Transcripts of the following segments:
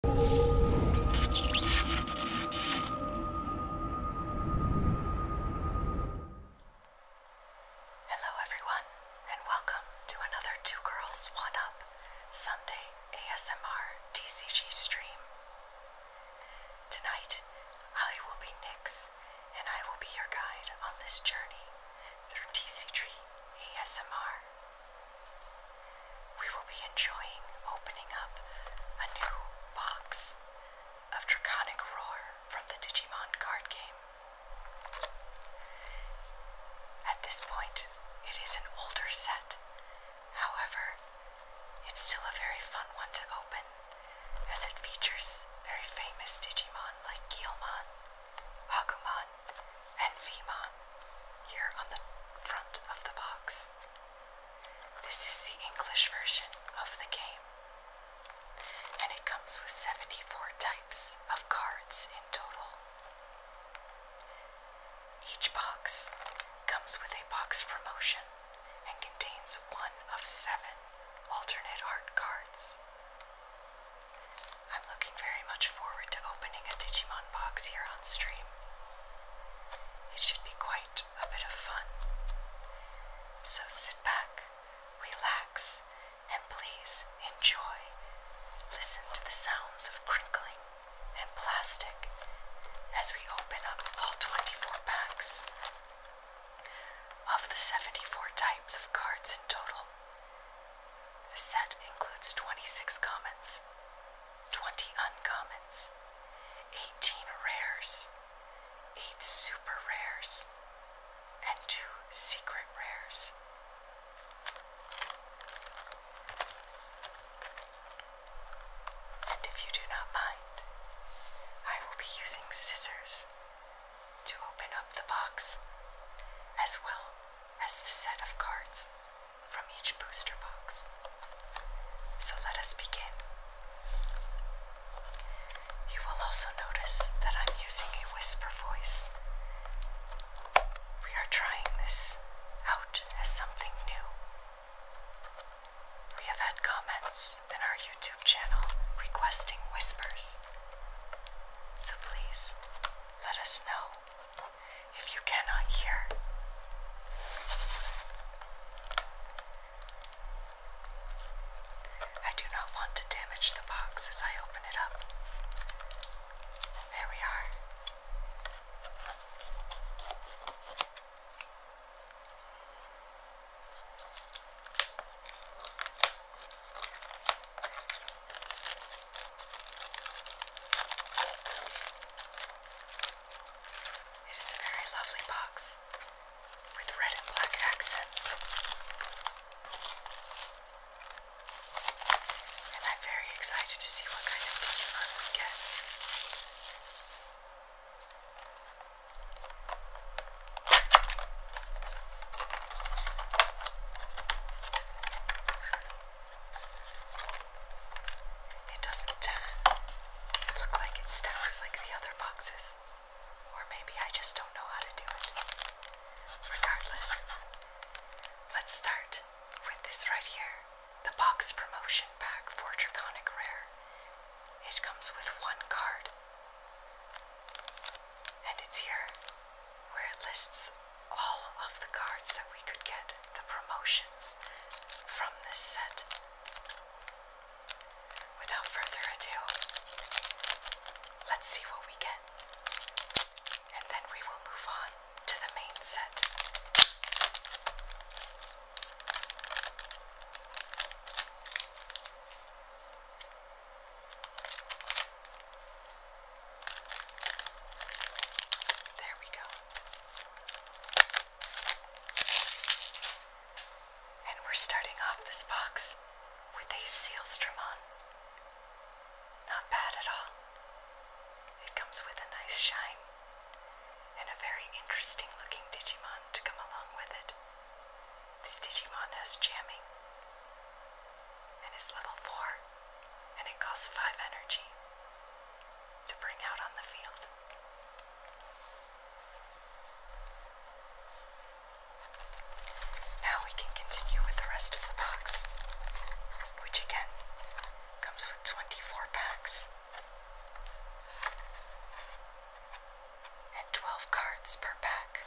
Hello, everyone, and welcome to another Two Girls One Up Sunday ASMR TCG stream. Tonight, I will be Nyx, and I will be your guide on this journey through TCG ASMR. We will be enjoying opening up a new box of Draconic Roar from the Digimon card game. At this point, it is an older set. However, it's still a very fun one to open as it features very famous Digimon like Gilmon, Agumon, and Vimon here on the front of the box. This is the English version of the game, and it comes with 74 types of cards in total. Each box comes with a box promotion and contains one of seven alternate art cards. I'm looking very much forward to opening a Digimon box here on stream. It should be quite a bit of fun. So sit back, relax, and please enjoy. Listen to the sounds of crinkling and plastic as we open up all 24 packs. Of the 74 types of cards in total, the set includes 26 commons. 20 uncommons, 18 rares, 8 super rares, and 2 secret rares. And if you do not mind, I will be using scissors to open up the box as well as the set of cards from each booster box. So let us begin. You will also notice that I'm using a whisper voice. We are trying this out as something new. We have had comments in our YouTube channel requesting whispers. So please let us know if you cannot hear. I do not want to damage the box as I open it up. There we are. It is a very lovely box with red and black accents. And I'm very excited to see what kind of Digimon we get. It doesn't look like it stacks like the other boxes. Or maybe I just don't know how to do it. Regardless, let's start with this right here the box promotion pack for Draconic Rare. It comes with one card, and it's here where it lists all of the cards that we could get, the promotions from this set. Without further ado, let's see what we get, and then we will move on to the main set. There we go. And we're starting off this box with a sealstramon. Not bad at all. It comes with a nice shine and a very interesting looking Digimon to come along with it. This Digimon has jamming and is level 4 and it costs 5 energy to bring out on the field. Now we can continue with the rest of the box, which again comes with 24 packs and 12 cards per pack.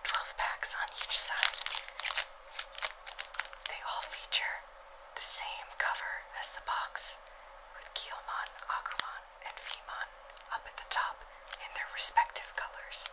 12 packs on each side. They all feature the same cover as the box, with Kiyomon, Agumon, and Vimon up at the top in their respective colors.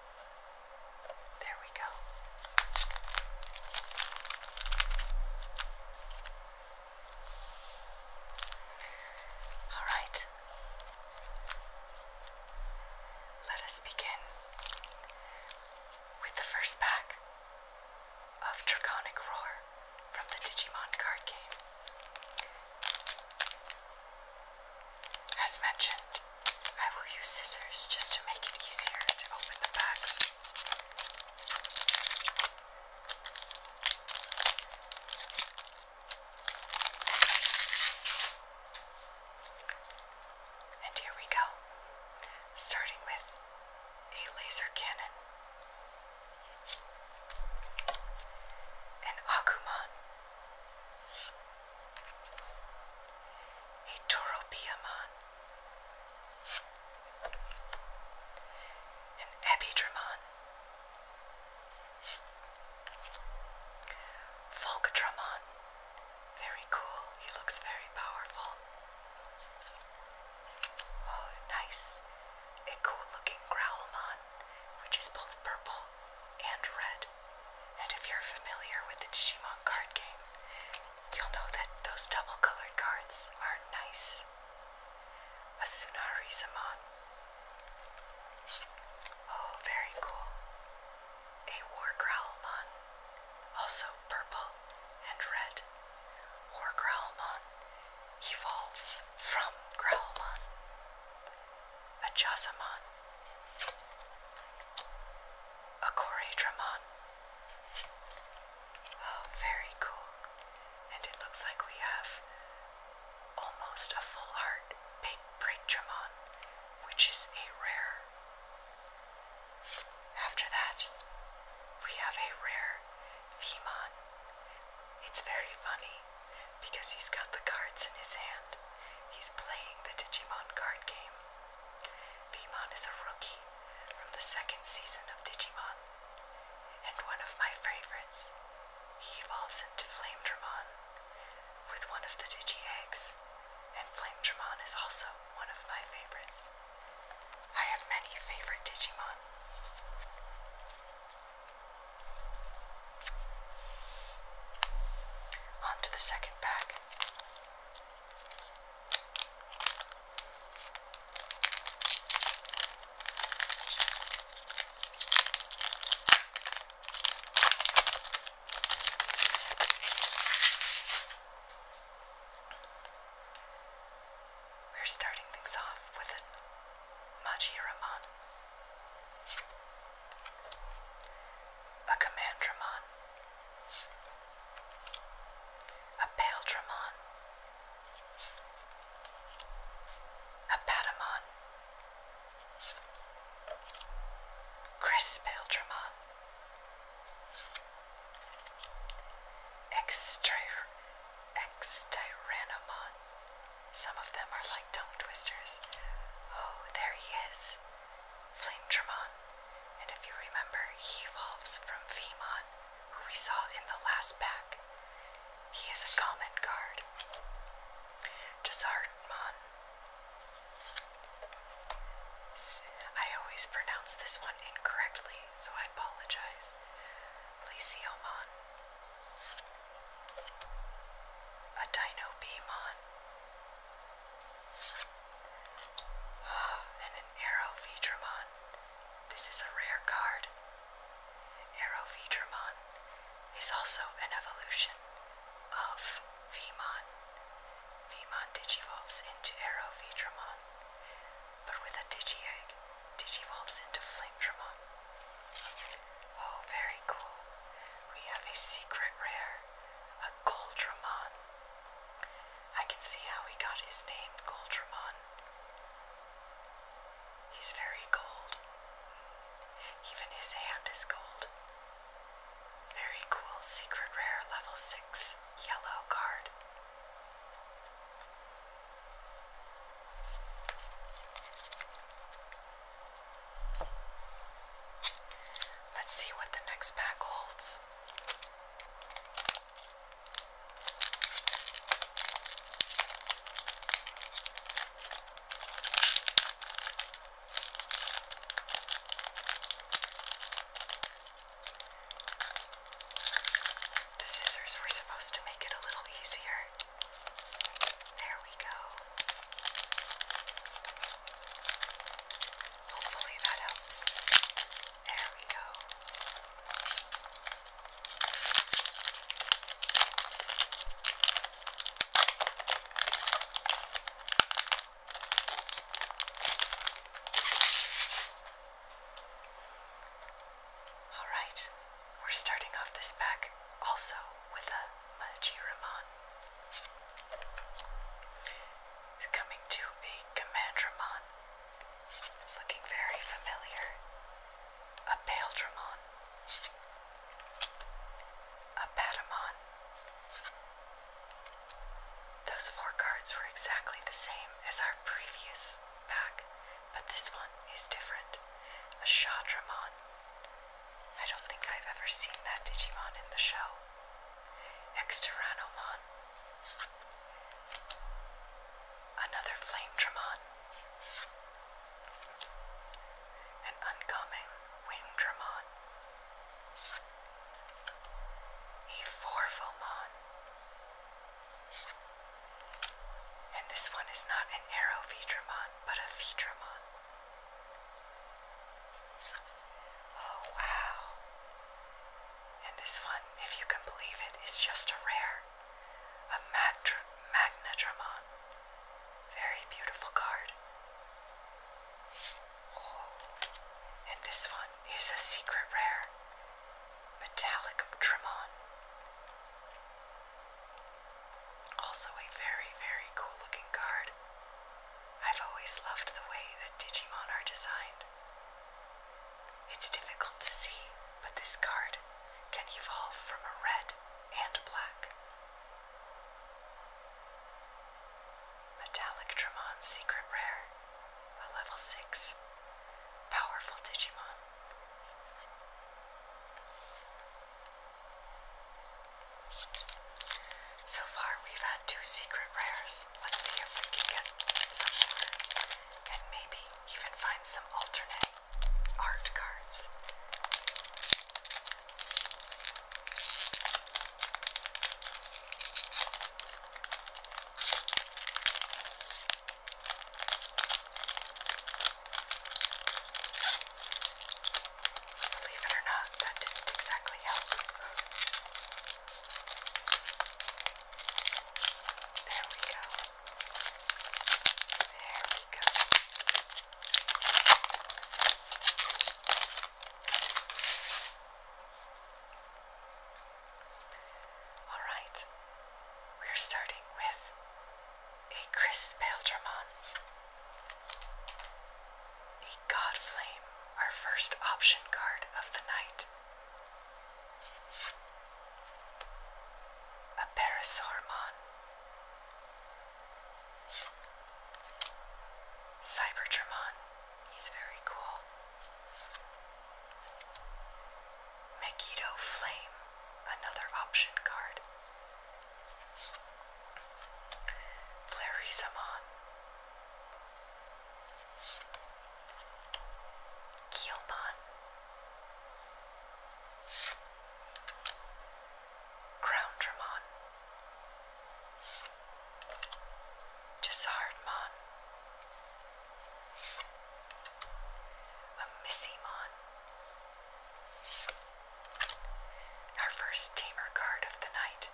There we go. All right. Let us begin with the first pack of Draconic Roar from the Digimon card game. As mentioned, I will use scissors just to make it easier to open the box. And here we go, starting with a laser cannon, an Agumon, a Toropiamon, an Ebidramon, Volcadramon. Very cool. He looks very powerful. Oh, nice. A cool looking Growlmon, which is both purple and red. And if you're familiar with the Digimon card game, you'll know that those double colored cards are nice. A Sunari Zaman. Oh, very cool. A War Growlmon, also purple and red. War Growlmon evolves from Growlmon a jasamon, a choredramon. Oh, very cool. And it looks like we have almost a full heart, big break breakdramon, which is a rare. After that, we have a rare Vemon. It's very funny because he's got the cards in his hand. He's playing the Digimon card game. Beemon is a rookie from the second season of Digimon, and one of my favorites. He evolves into Flame Flamedramon with one of the Digi and Flame Flamedramon is also one of my favorites. I have many favorite Digimon. On to the second we're starting things off with a Majiraman. A Commandramon, a Paldramon, a Patamon, Chris Paldramon, Extir Extyrannomon. Some of them are like tongue twisters. Oh, there he is. Flame Dramon, and if you remember, he evolves from Feemon, who we saw in the last pack. He is a common card. Desardmon. I always pronounce this one incorrectly, so I apologize. Lesiomon. A Dino Beamon. and an Arrow This is a rare card. Arrow Vidramon is also an evolution of Vemon. Vemon digivolves into Arrow Vidramon, but with a Digi-Egg, digivolves into Flamedramon. Oh, very cool. We have a secret rare a Goldramon. I can see how he got his name, Goldramon. He's very gold. Even his hand is gold. Very cool, secret rare, level 6, yellow card. Let's see what the next pack holds. The scissors were supposed to make it a little easier. There we go. Hopefully that helps. There we go. All right, we're starting off this pack also with a Majiramon. It's coming to a commandramon. It's looking very familiar. A Paldramon. A Patamon. Those four cards were exactly the same as our previous pack, but this one is different. A Shadramon. I don't think I've ever seen that Digimon in the show. Exterranomon. Another Flame Dramon. An uncommon Wing Dramon. A Four Forvomon. And this one is not an Aero Vidramon, but a Vidramon. Oh, wow. And this one, if you can believe it, is just a rare. A Magdra Magnadramon. Very beautiful card. Oh, and this one is a secret rare. Metallic Dramon. Also a very, very cool looking card. I've always loved the way that Digimon are designed. It's difficult to see, but this card can evolve from a red and black. Metallic Dramon Secret Rare, a level 6. Powerful Digimon. So far, we've had two secret rares. Let's see if we can get some more. And maybe even find some alternate art cards. Believe it or not, that didn't exactly help. There we go. There we go. All right, we're starting with a Chris Peltramon. A God Flame, our first option card of the night. A Parasaurmon. Cyberdramon, he's very cool. Megiddo Flame, another option card. Fleurysamon, Keelmon, Groundramon, Gisardmon, Amissimon. Our first tamer card of the night.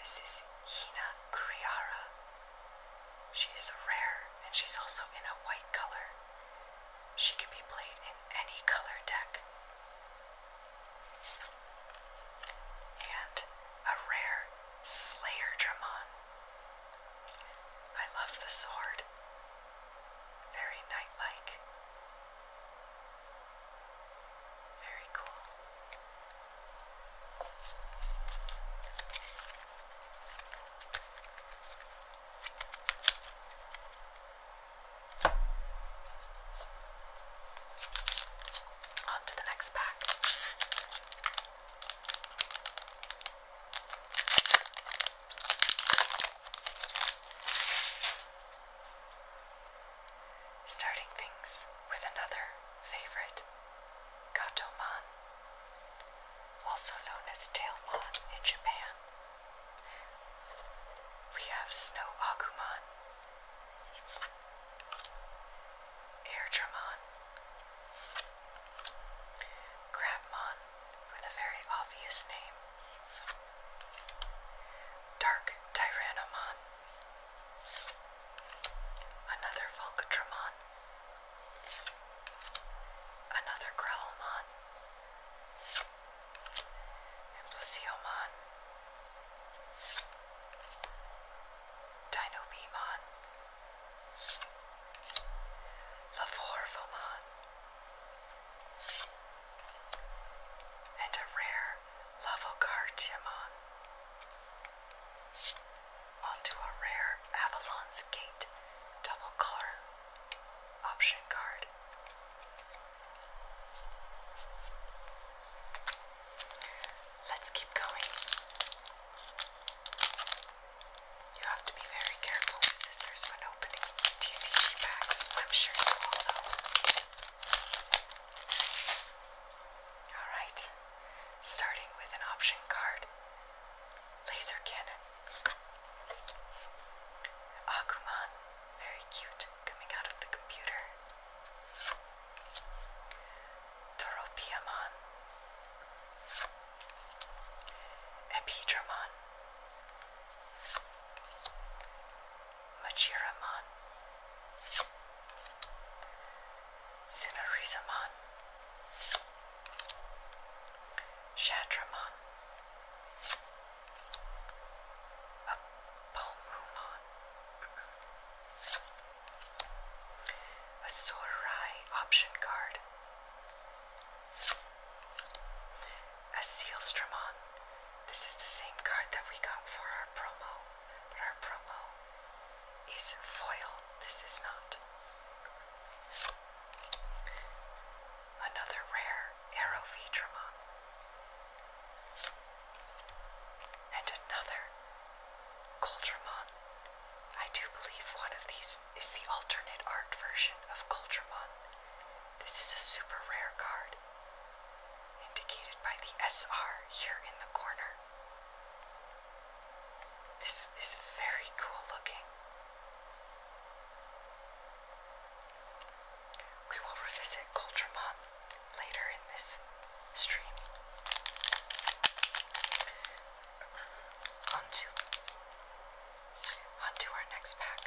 This is Hina Kuriara. She is a rare and she's also in a white color. She can be played in any color deck. And a rare Slayer Dramon. I love the sword. Very knightlike. Very cool. On to the next pack starting things with another favorite, Gatomon, also known as Tailmon in Japan. We have Snow Agumon, Airdramon, Crabmon with a very obvious name, Dark Tyrannomon. Another Volcatramon. Another Growlmon. And Plesiomon. Dinobemon. Lavorvomon and a rare Lavocartiamon, onto a rare Avalon's Gate double color option card. Let's keep going. You have to be very careful with scissors when opening TCG packs. I'm sure you all know. Alright, starting with an option card Laser Cannon. Agumon, very cute, coming out of the computer. Toropiamon. Epidramon. Machiraman, Sunarizaman, Shadraman, a Sorai option card, a Sealstromon. This is the same card that we got for our promo, but our promo is foil. This is not. Another rare Arrow And another Coldramon. I do believe one of these is the alternate art version of Coldramon. This is a super rare card indicated by the SR here in the corner. This is very cool looking. We will revisit Coltramon later in this stream. On to, on to our next pack.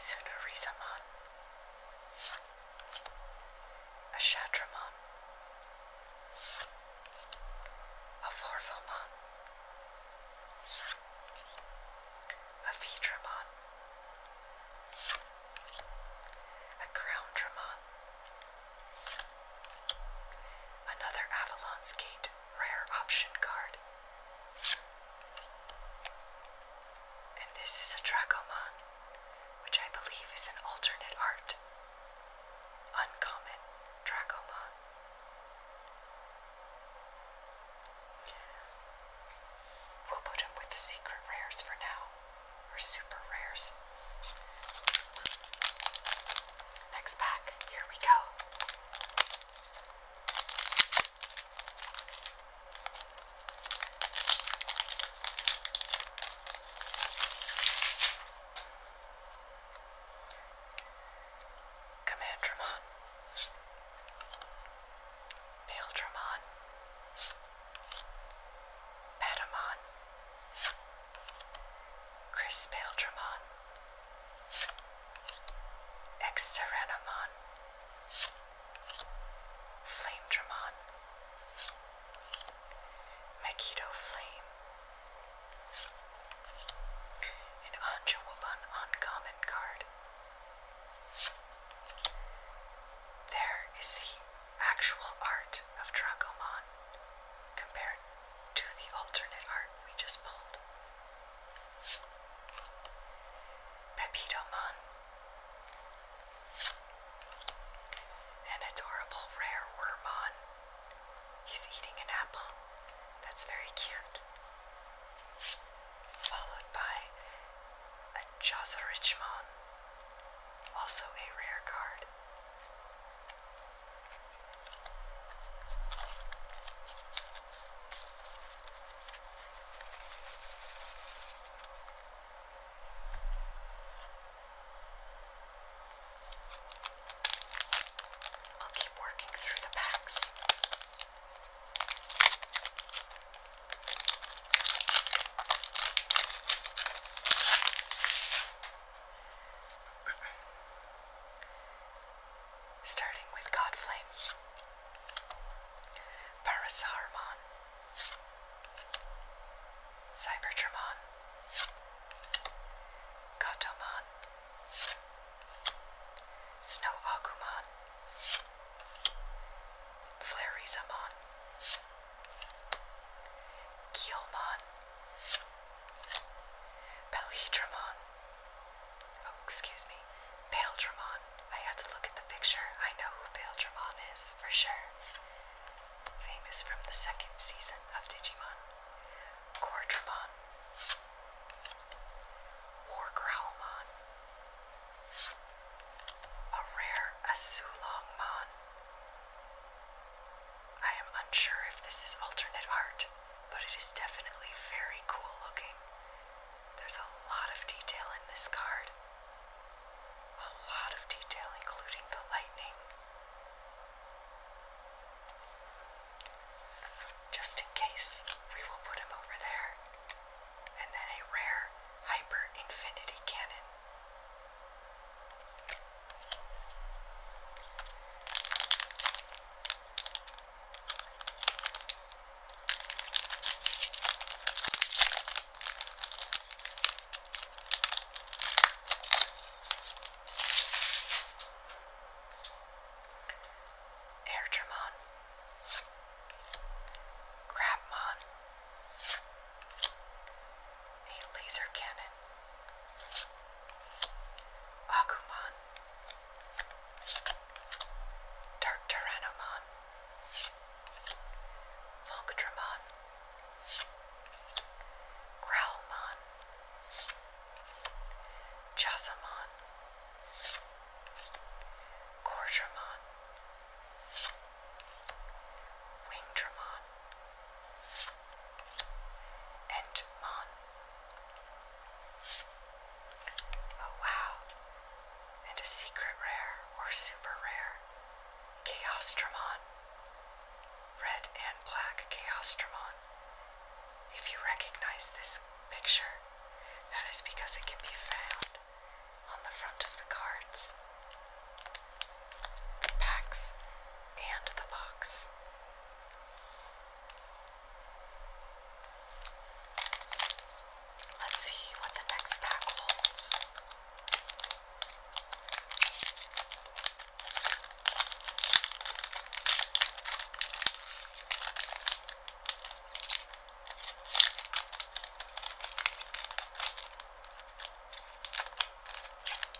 Sunurizaman, Ashadraman, Avorvaman, Avidraman, Agroundraman, Another Avalon's Gate rare option card. And this is a Dracomon, which I believe is an alternate art. Uncommon Dracomon. We'll put him with the secret rares for now, or super rares. Next pack, here we go. Command Dramon. Pale Dramon. Patamon. Chris Paldramon, Ex Flame Dramon, Megiddo Flame, an Anja Woman uncommon card. There is the actual art of Dracomon compared to the alternate art we just pulled. Pepito Mon. And it's rare Wormon. He's eating an apple. That's very cute. Followed by a Jazzerichmon, also a rare card. I'll keep working through the packs starting with God Flame, Parasarmon, Cyberdramon, Gotomon, Snow Agumon, Flarizamon, Keelmon, Belhedramon. Oh, excuse me. Baldramon. I had to look at the picture. I know who Baldramon is for sure. Famous from the second season of Digimon. Gordramon. Wargrowlmon. A rare Asulongmon. I am unsure if this is alternate art, but it is definitely very cool looking. There's a lot of detail in this card. A lot of detail, including the lightning. Just in case, we will put him over there. And then a rare Hyper Infinity Cannon. Air Dramon, Crabmon, a laser cannon. Agumon, Dark Tyrannomon, Volcadramon, Growlmon, Chasamon, Cordramon, Wingramon and Oh wow. And a secret rare or super rare. Chaostramon. Red and black Chaostramon. If you recognize this picture, that is because it can be found on the front of the cards, the packs, and the box. Let's see what the next pack holds.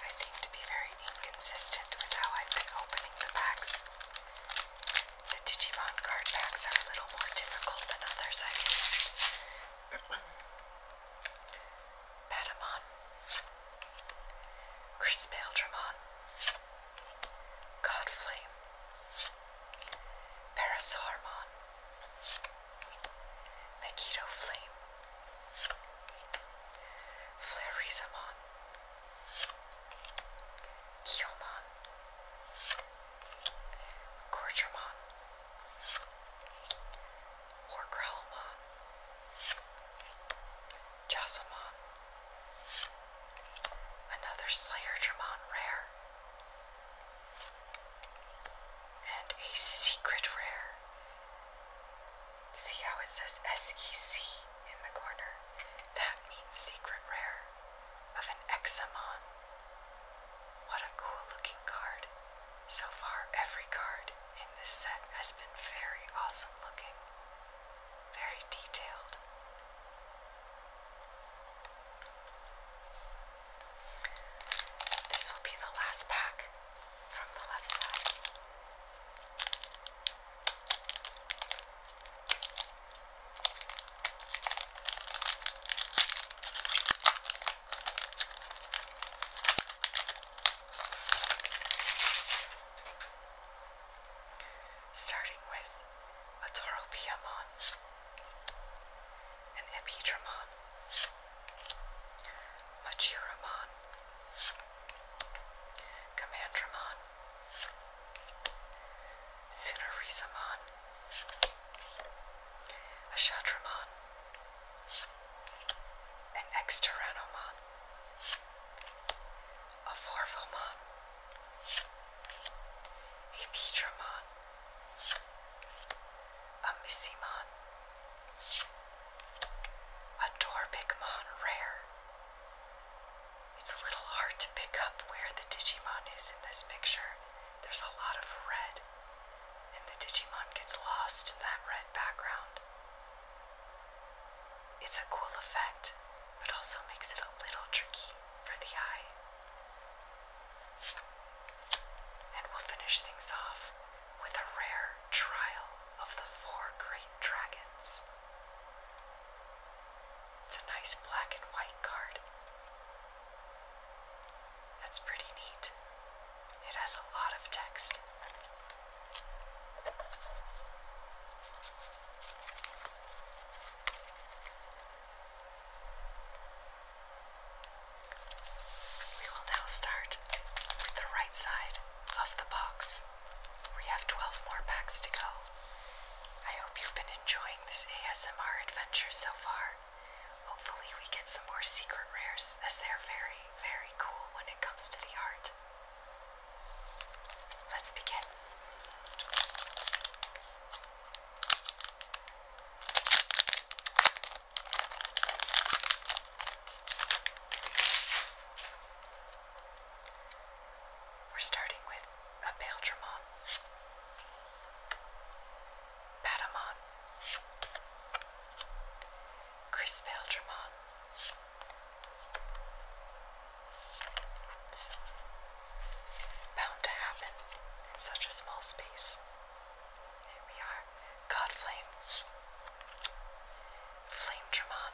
I seem to be very inconsistent with how I've been opening the packs. The Digimon card packs are a little more difficult than others I've used. Patamon, Crispaldramon, Godflame, Parasaurmon, Magneto Flame, Flaresamon, Kiomon, Gorgermon, Wargrowlmon, Josamon, another Slayer Dramon rare, and a secret rare See how it says SEC in the corner? That means secret rare of an Examon. What a cool looking card. So far, every card in this set has been very awesome looking, very detailed. This will be the last pack from the left side. Starting with a Toropiamon, an Epidramon, Machiramon, Commandramon, Sunarisamon, Ashadramon, an Exteranomon, a Vorvomon, a Vidramon, a Missymon, a Dorpicmon rare, it's a little hard to pick up where the Digimon is in this picture. There's a lot of red, and the Digimon gets lost in that red background. It's a cool effect, but also makes it a little tricky for the eye. And we'll finish things off with a rare trial of the four great dragons. It's a nice black and white card. That's pretty neat. It has a lot of text. We will now start with the right side of the box. We have 12 more packs to go. I hope you've been enjoying this ASMR adventure so far. Hopefully, we get some more secret rares, as they're very, very cool when it comes to the art. Let's begin. We're starting with a Baldramon, Batamon, Chris Baldramon. bound to happen in such a small space. Here we are, Godflame, Flame Dramon.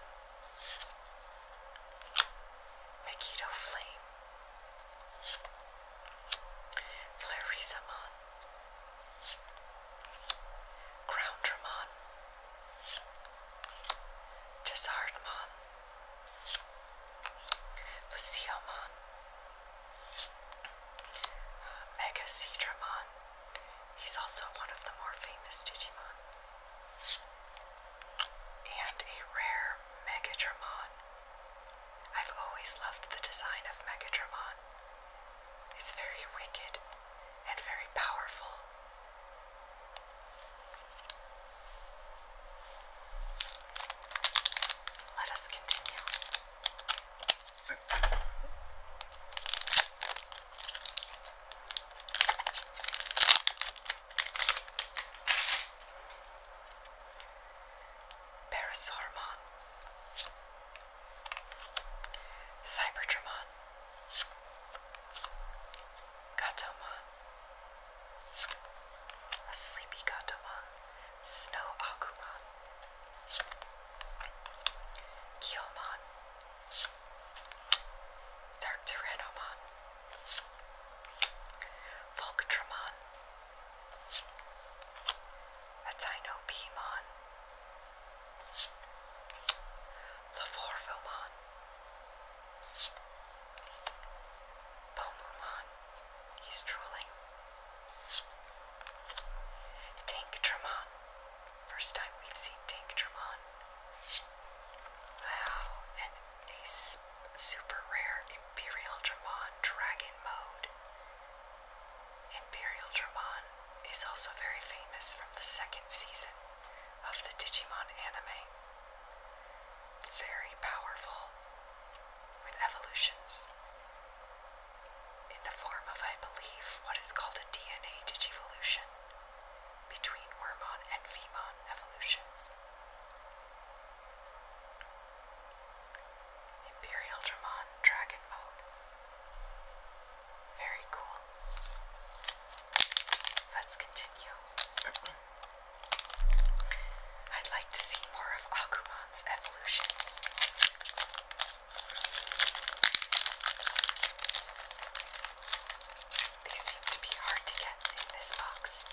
Megiddo Flame, Flarizamon, Groundramon, Desardmon, Lysiomon, uh, Mega Seedramon. He's also one of the more famous Digimon and a rare Megatramon. I've always loved the design of Megatramon. It's very wicked and very powerful. Let us continue. Paris Hormon, Cyberdramon, Gatomon, a sleepy Gatomon, Snow Agumon, Kyomon. Dark Tyrannomon, Volcatramon, Atinopemon, Lavorvomon, Bomumon, he's drooling, Tanktramon, First time we've seen Tank Tremont. Wow, and a super rare Imperial Dramon Dragon Mode. Imperial Dramon is also very famous from the second season of the Digimon anime. Very powerful, with evolutions in the form of, I believe, what is called a DNA Digivolution between Wormon and Vemon evolutions. Imperial Dramon Dragon Mode. Very cool. Let's continue. I'd like to see more of Akumon's evolutions. These seem to be hard to get in this box.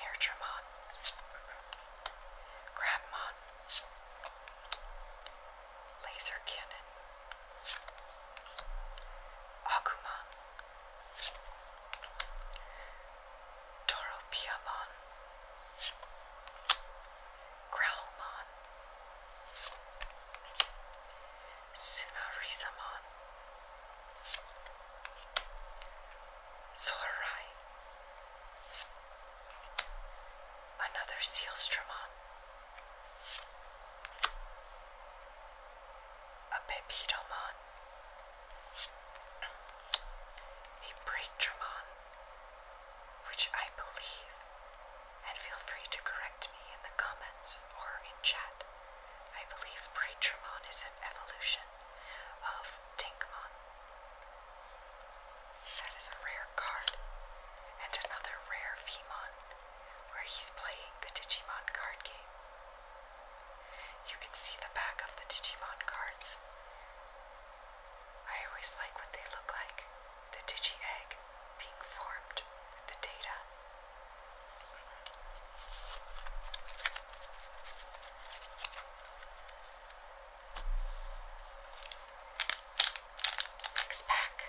Air Tremont, Crabmont, Laser Cannon, Agumon, Toro Grelmon, Sunarisamon, Zorai, another Sealstramon, a Pepidomon, a Breakdramon which I believe, and feel free to correct me in the comments or in chat. I believe Praetramon is an evolution of Dinkmon. That is a rare card, and another rare Vemon, where he's playing the Digimon card game. You can see the back of the Digimon cards. I always like what they look like, the digi egg being formed with the data. Next pack.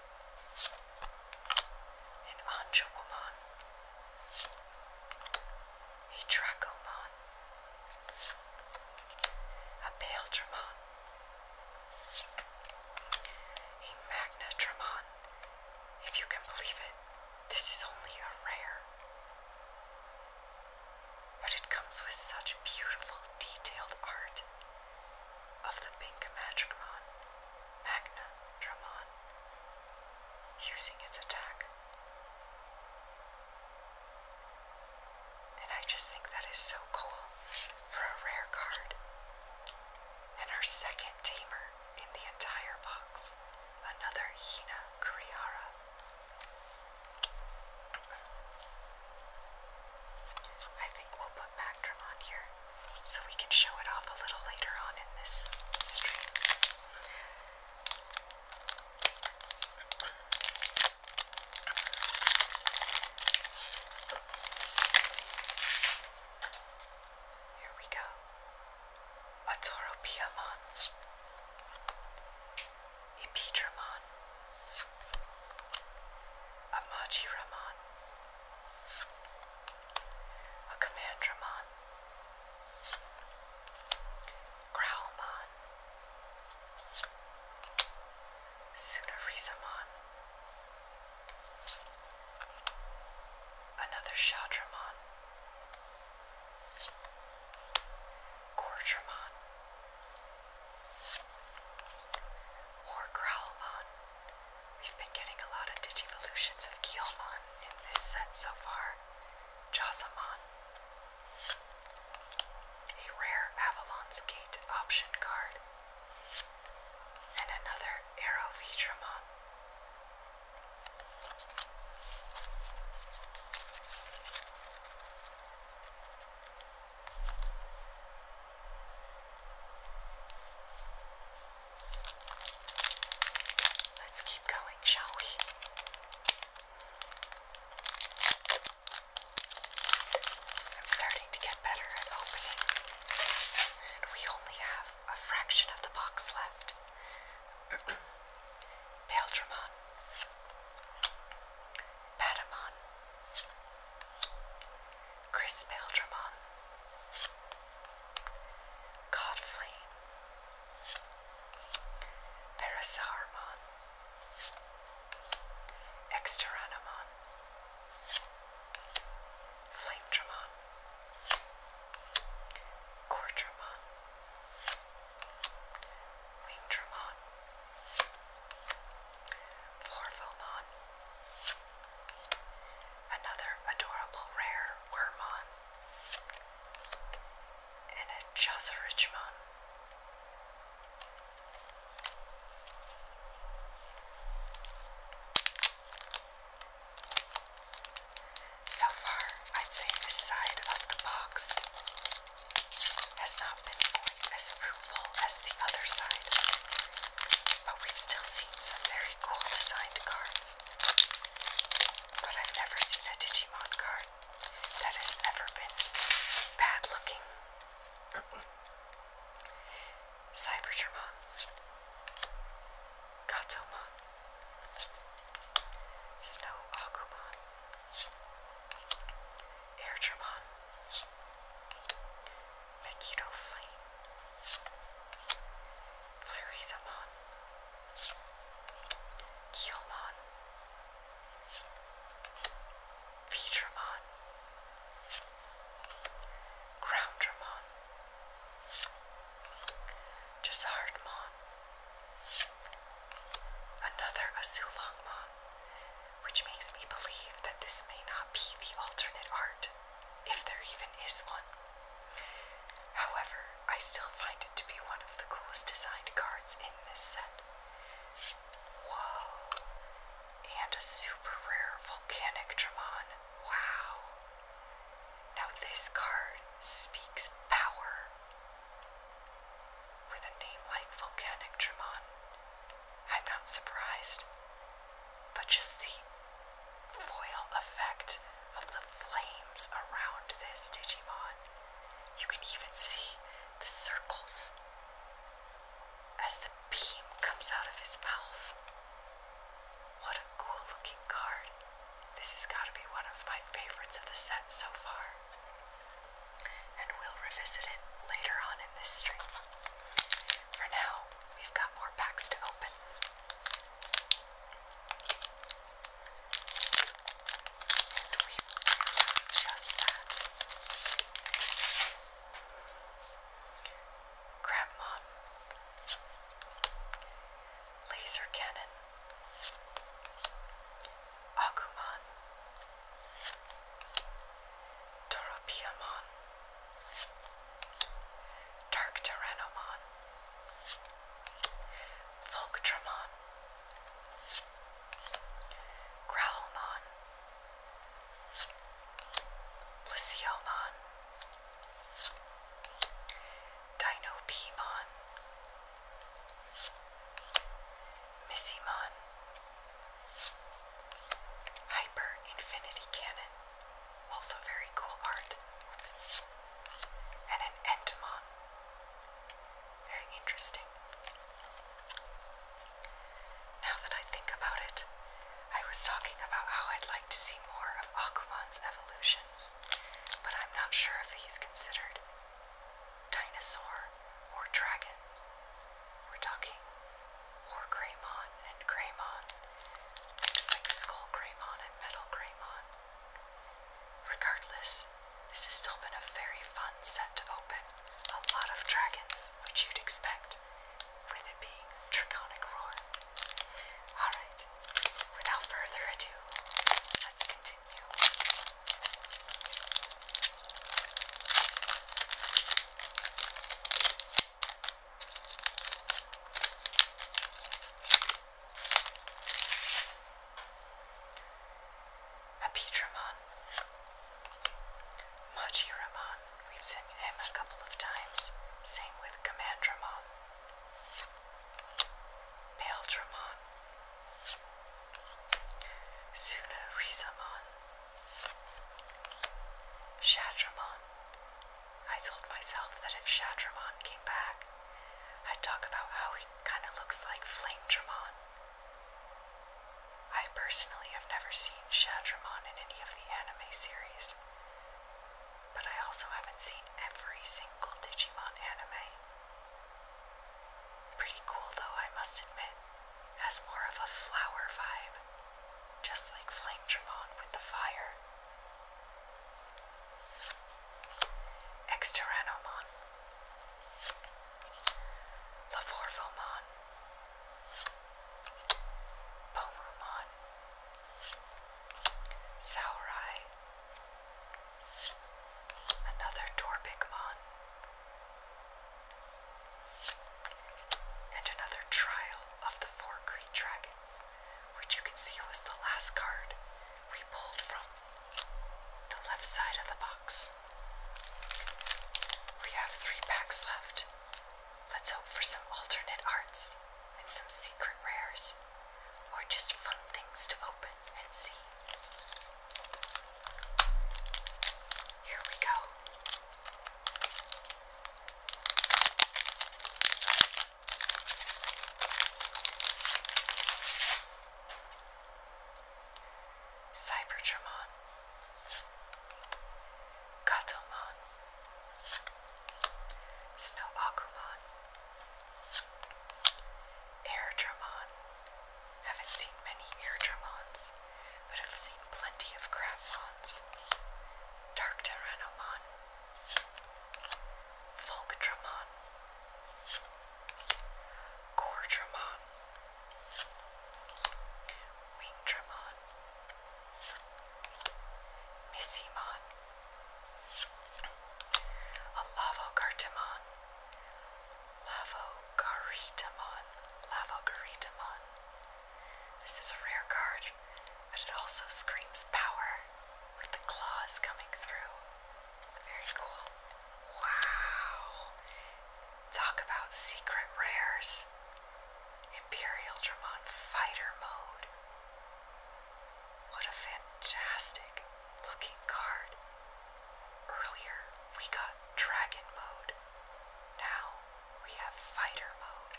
An a in Anjouman, Etracoman, Abeltramon, Emagnatramon. If you can believe it, this is only a rare. But it comes with such beautiful, detailed art of the Pink Magicmon Magna Dramon using its attack. And I just think that is so cool for a rare card. And our second tamer in the entire box, another Hina Kurihara. I think we'll put spectrum here so we can show it off a little later on in this stream. Here we go. Atoropiamon. Epidramon. Amagiraman. A Commandramon, Growlmon, Sunarisamon, another Shadramon, Cordramon, Wargrowlmon. We've been getting a lot of Digivolutions of Guillemon in this set so far. Josamon. A rare Avalon's Gate option card. And another Arrow Vitramon. Let's keep going, shall we? I'm starting to get better at opening, we only have a fraction of the box left. Beldramon, Patamon, Chris Beldramon, Godflame, Parasarmon, Exteranamon, Flamedramon, Cordramon, Wingdramon, Vorvomon. Another adorable rare Wormon. And a Chazarichmon. So far, I'd say this side of the box has not been as fruitful as the other side. But we've still seen some very cool designed cards. But I've never seen a Digimon card that has ever been bad looking. Cybergermon. Gatomon. Snow Agumon. Airgermon. Makito Flame, Flarizamon, Keelmon, Featramon, Groundramon, Gisardmon, another Azulongmon, which makes me believe that this may not be the alternate art if there even is one. However, I still find it to be one of the coolest designed cards in this set. Whoa! And a super rare volcanic Dramon. Wow! Now this card speaks power. With a name like Volcanic Dramon, I'm not surprised but just the foil effect of the flames around this Digimon. You can even see the circles as the beam comes out of his mouth. What a cool looking card. This has got to be one of my favorites of the set so far. And we'll revisit it later on in this stream. For now, We've got more packs to open. And we've just that. Crabmon. Laser Cannon. Agumon. Toropiamon. Dark Tyrannomon, Volctramon, Growlmon, Plesiomon, Dinopemon, Missymon, Hyper Infinity Cannon. Also very cool art. And an entomon. Very interesting. Now that I think about it, I was talking about how I'd like to see more of Aquaman's evolutions, but I'm not sure if he's considered dinosaur or dragon. We're talking or Greymon and Greymon, things like Skull Greymon and Metal Greymon. Regardless, this has still been a very fun set to open. A lot of dragons, which you'd expect, with it being Draconic Roar. Alright, without further ado, let's continue. A Pete Machi Ramon. We've seen him a couple of times. Same with Command Pale Ramon. Suna Rizamon. Shadramon. I told myself that if Shadramon came back, I'd talk about how he kind of looks like Flame Dramon. I personally have never seen Shadramon in any of the anime series, but I also haven't seen every single Digimon anime. Pretty cool though, I must admit, has more of a flower vibe just like Flame Tremont with the fire. Exterranomon, Lavorvomon, Pomumon, Saurai, another Torpicmon, and another trial of the Four Great Dragon which you can see was the last card we pulled from the left side of the box. We have three packs left. Let's hope for some alternate arts and some secret rares, or just fun things to open and see. Here we go. Cyberdramon, Katomon, Snow Akumon, Airdramon. Haven't seen many Airdramons, but I've seen plenty of Crabmons. Dark Tyrannomon, Fulcramon, Cordramon, Wingdramon, Missymon, Alavocartamon, Lavocartamon, Lavocartamon, this is a rare card, but it also screams power with the claws coming through. Very cool. Wow! Talk about secret rares. Imperial Dramon Fighter Mode. What a fantastic looking card. Earlier we got Dragon Mode. Now we have fighter mode.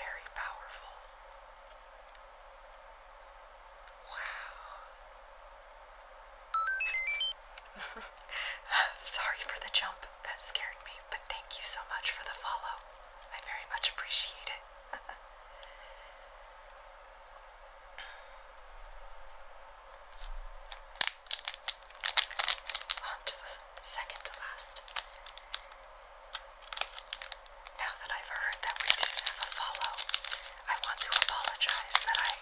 Very powerful. Wow. Sorry for the jump. That scared me, but thank you so much for the follow. I very much appreciate it. On to the second to last. Now that I've heard that we did have a follow, I want to apologize that I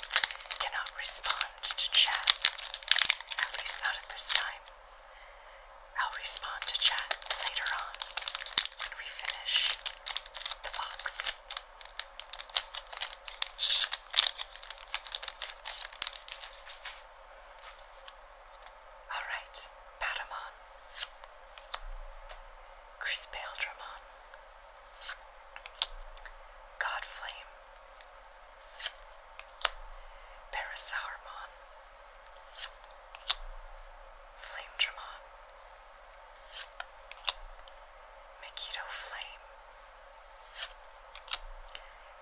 cannot respond to chat. At least not at this time. I'll respond to chat later on when we finish the box. Alright, Patamon. Crispaldramon. Godflame. God Flame, Makito Flame. Flame,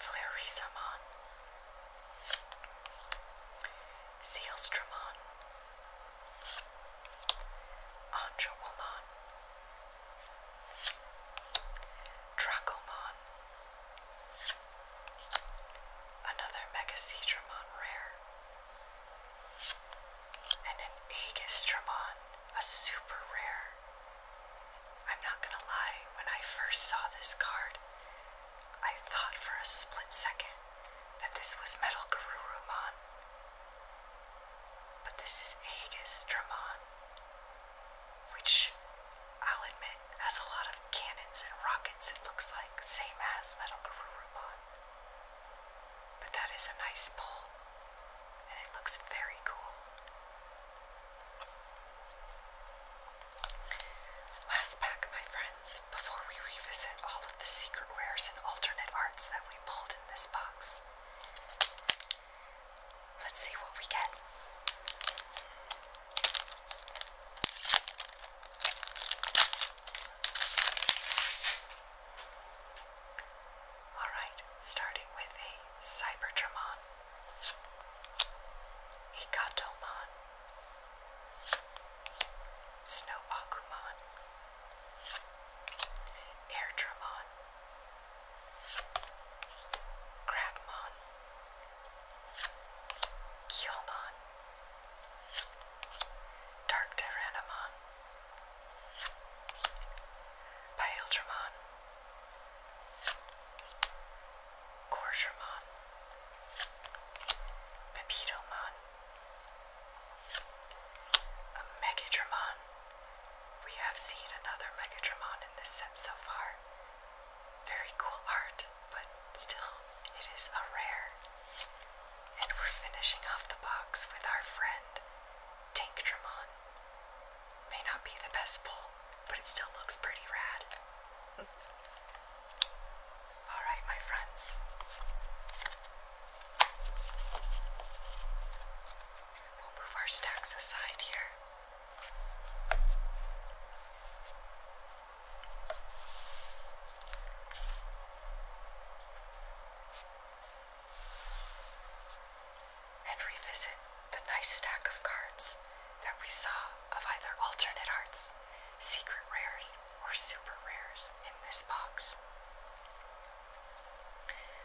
Flaresamon. Sealstramon, Anjawamon, Drakomon, another Megacetramon rare, and an Agistramon, a super rare. I'm not gonna lie, when I first saw this card, I thought for a split second that this was Metal Garurumon. But this is Aegis Dramon, which I'll admit has a lot of cannons and rockets, it looks like, same as Metal Garurumon. But that is a nice pole, and it looks very cool. Last pack, my friends, before we revisit all of the secret wares and alternate arts that we pulled in this box. Let's see what we get. Alright, starting with a Cyberdramon, a Snow Agumon, Airdramon, Crabmon, Keelmon, Dark Tyrannomon, Gourgermon, Pepitomon, a Megadramon. We have seen another Megadramon in this set so far. Very cool art, but still, it is a rare. And we're finishing off the box with our friend Tankdramon. May not be the best pull, but it still looks pretty rad. All right, my friends. We'll move our stacks aside here. And revisit the nice stack of cards that we saw of either alternate arts secret rares, or super rares in this box.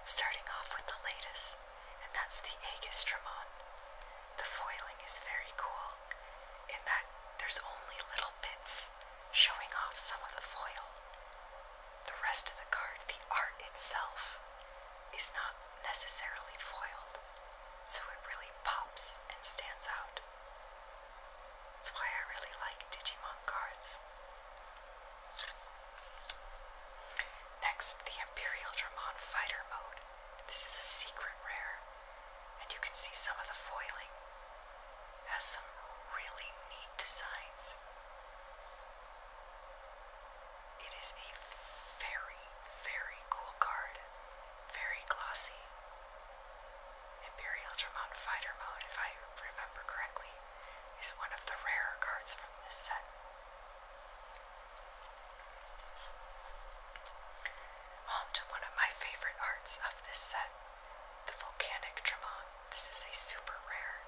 Starting off with the latest, and that's the Agistramon. The foiling is very cool in that there's only little bits showing off some of the foil. The rest of the card, the art itself, is not necessarily foiled so it really pops and stands out. That's why I really like Digimon cards. Next, the Imperial Dramon Fighter Mode. This is a secret rare, and you can see some of the foiling. Has some really neat designs. It is a very, very cool card, very glossy, Imperial Tremont Fighter Mode, if I remember correctly, is one of the rarer cards from this set. On to one of my favorite arts of this set, the Volcanic Tremont. This is a super rare.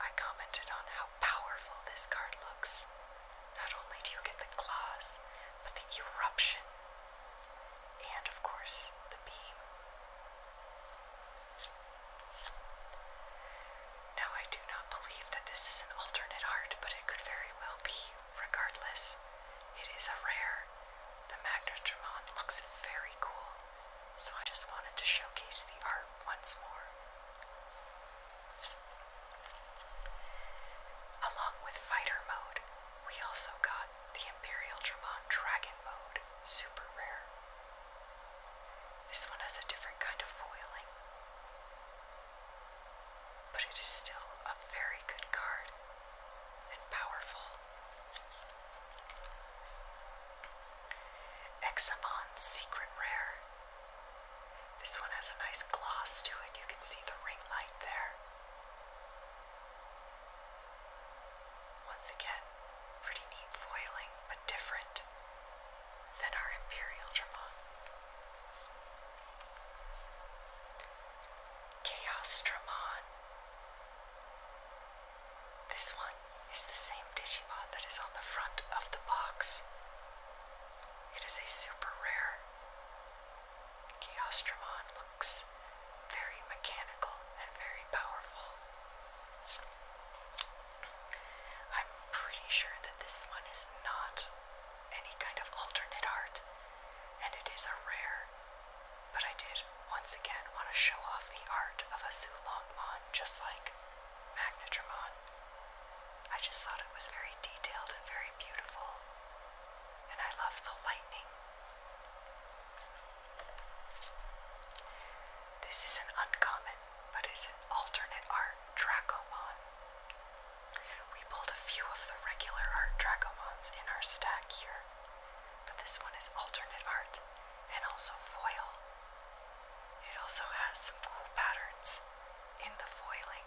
I commented on how powerful this card looks. Not only do you get the claws, but the eruption, and of course, the beam. Now, I do not believe that this is an alternate art, but it could very well be. Regardless, it is a rare. The Magnetron looks very cool, so I just wanted to showcase the art once more. Along with Fighter Mode, we also got the Imperial Dramon Dragon Mode, super rare. This one has a different kind of foiling, but it is still a very good card and powerful. Examon Secret Rare. This one has a nice gloss to it. You can see the ring light there. Once again, pretty neat foiling, but different than our Imperial Dramon. Chaos Dramon. This one is the same Digimon that is on the front of the box. It is a super rare Geostromon looks very mechanical and very powerful. I'm pretty sure that this one is not any kind of alternate art, and it is a rare, but I did once again want to show off the art of a Zulongmon just like Magnetramon. I just thought it was very detailed and very beautiful, and I love the lightning. This is an uncommon, but is an alternate art Dracomon. We pulled a few of the regular art Dracomons in our stack here, but this one is alternate art and also foil. It also has some cool patterns in the foiling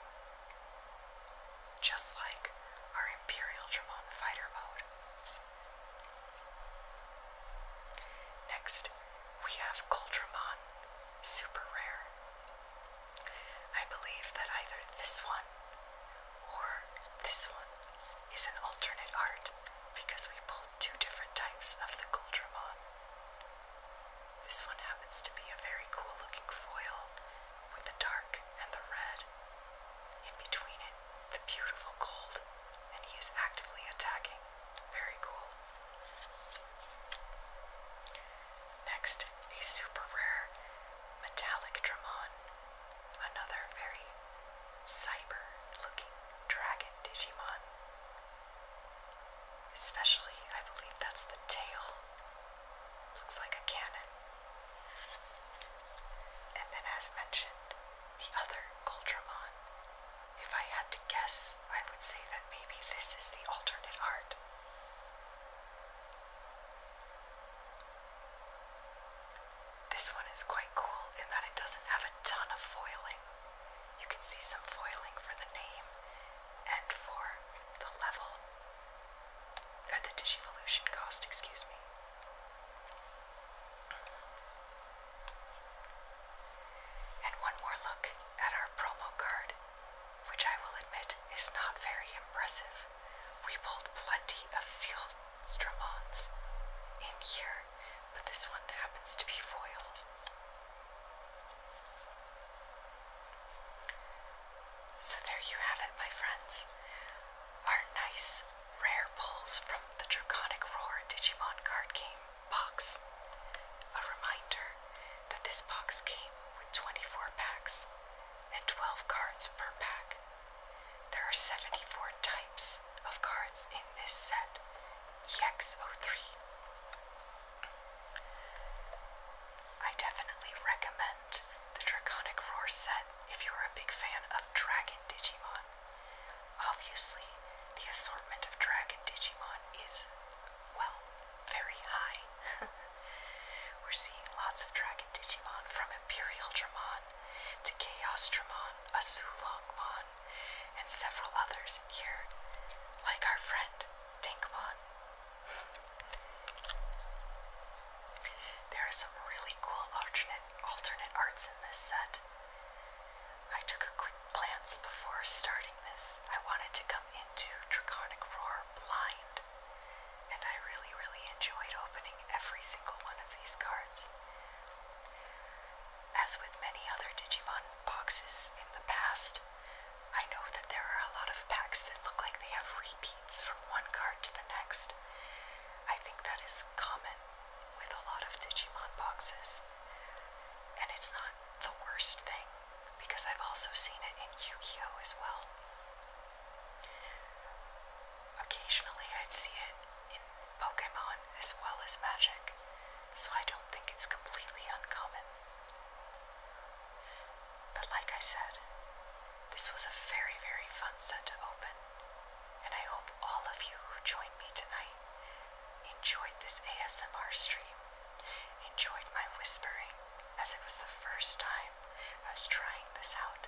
just like our Imperial Dramon fighter mode. Next, we have Coldramon Super Rare. I believe that either this one or this one is an alternate art because we pulled two different types of the Coldramon. This one happens to be a very cool looking foil with the dark and the red. In between it, the beautiful gold, and he is actively attacking. Very cool. Next, a super rare metallic Dramon, another very cyber looking dragon Digimon. Especially, I believe that's the tail Looks like a cannon. And then, as mentioned, the other Goldramon. If I had to guess, I would say that maybe this is the alternate art. This one is quite cool in that it doesn't have a ton of foiling. You can see some foiling for the name and for the level, at the Digivolution cost, excuse me. And one more look at our promo card, which I will admit is not very impressive. We pulled plenty of sealed Stramons in here, but this one happens to be foil. So there you have it, my friends. Our nice rare pulls from the Draconic Roar Digimon card game box. A reminder that this box came with 24 packs and 12 cards per pack. There are 74 types of cards in this set EX03. I definitely recommend the Draconic Roar set if you're a big fan of Dragon Digimon. Obviously, the assortment of Dragon Digimon is, well, very high. We're seeing lots of Dragon Digimon from Imperial Dramon to Chaos Dramon, Asulongmon, and several others in here, like our friend Dinkmon. There are some really cool alternate alternate arts in this set. I took a quick glance before starting this. I wanted to come into Draconic Roar blind, and I really, really enjoyed opening every single one of these cards. As with many other Digimon boxes in the past, I know that there are a lot of packs that look like they have repeats from one card to the next. I think that is common with a lot of Digimon boxes. And it's not the worst thing, because I've also seen it in Yu Gi Oh! as well. Occasionally I'd see it in Pokemon as well as Magic, so I don't think it's completely uncommon. But like I said, this was a very, very fun set to open, and I hope all of you who joined me tonight enjoyed this ASMR stream, enjoyed my whispering, as it was the first time I was trying this out.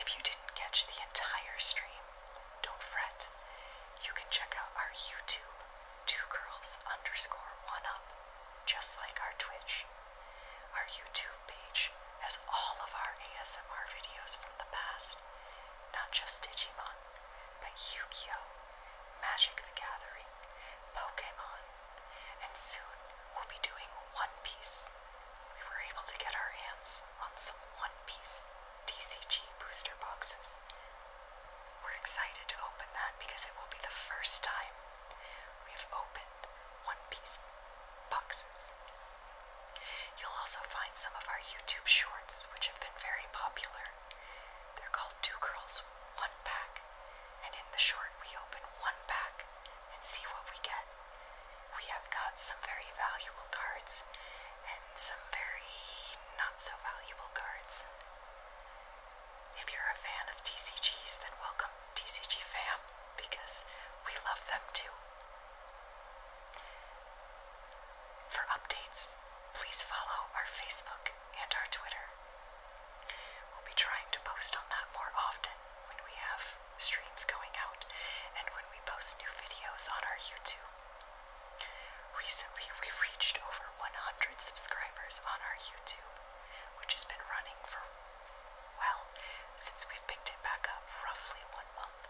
If you didn't catch the entire stream, don't fret. You can check out our YouTube, two girls underscore one up, just like our Twitch. Our YouTube page has all of our ASMR videos from the past, not just Digimon, but Yu Gi Oh!, Magic the Gathering, Pokemon, and soon we'll be doing One Piece. We were able to get our hands on some One Piece DCG booster boxes. We're excited to open that because it will be the first time We've opened One Piece boxes. You'll also find some of our YouTube shorts, which have been very popular. They're called Two Girls, One Pack, and in the short, we open one pack and see what we get. We have got some very valuable cards and some very not so valuable cards. If you're a fan of TCGs, then welcome, TCG fam, because we love them too. For updates, please follow our Facebook and our Twitter. We'll be trying to post on that more often when we have streams going out and when we post new videos on our YouTube. Recently, we reached over 100 subscribers on our YouTube which has been running for, well, since we've picked it back up, roughly one month.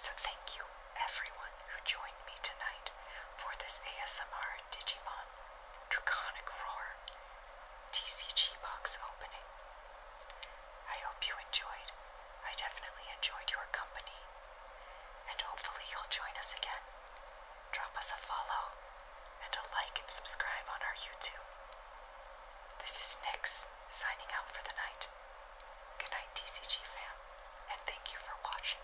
So thank you, everyone who joined me tonight for this ASMR Digimon Draconic Roar TCG box opening. I hope you enjoyed. I definitely enjoyed your company, and hopefully, you'll join us again drop us a follow and a like and subscribe on our YouTube. This is Nix signing out for the night. Good night, TCG fam, and thank you for watching.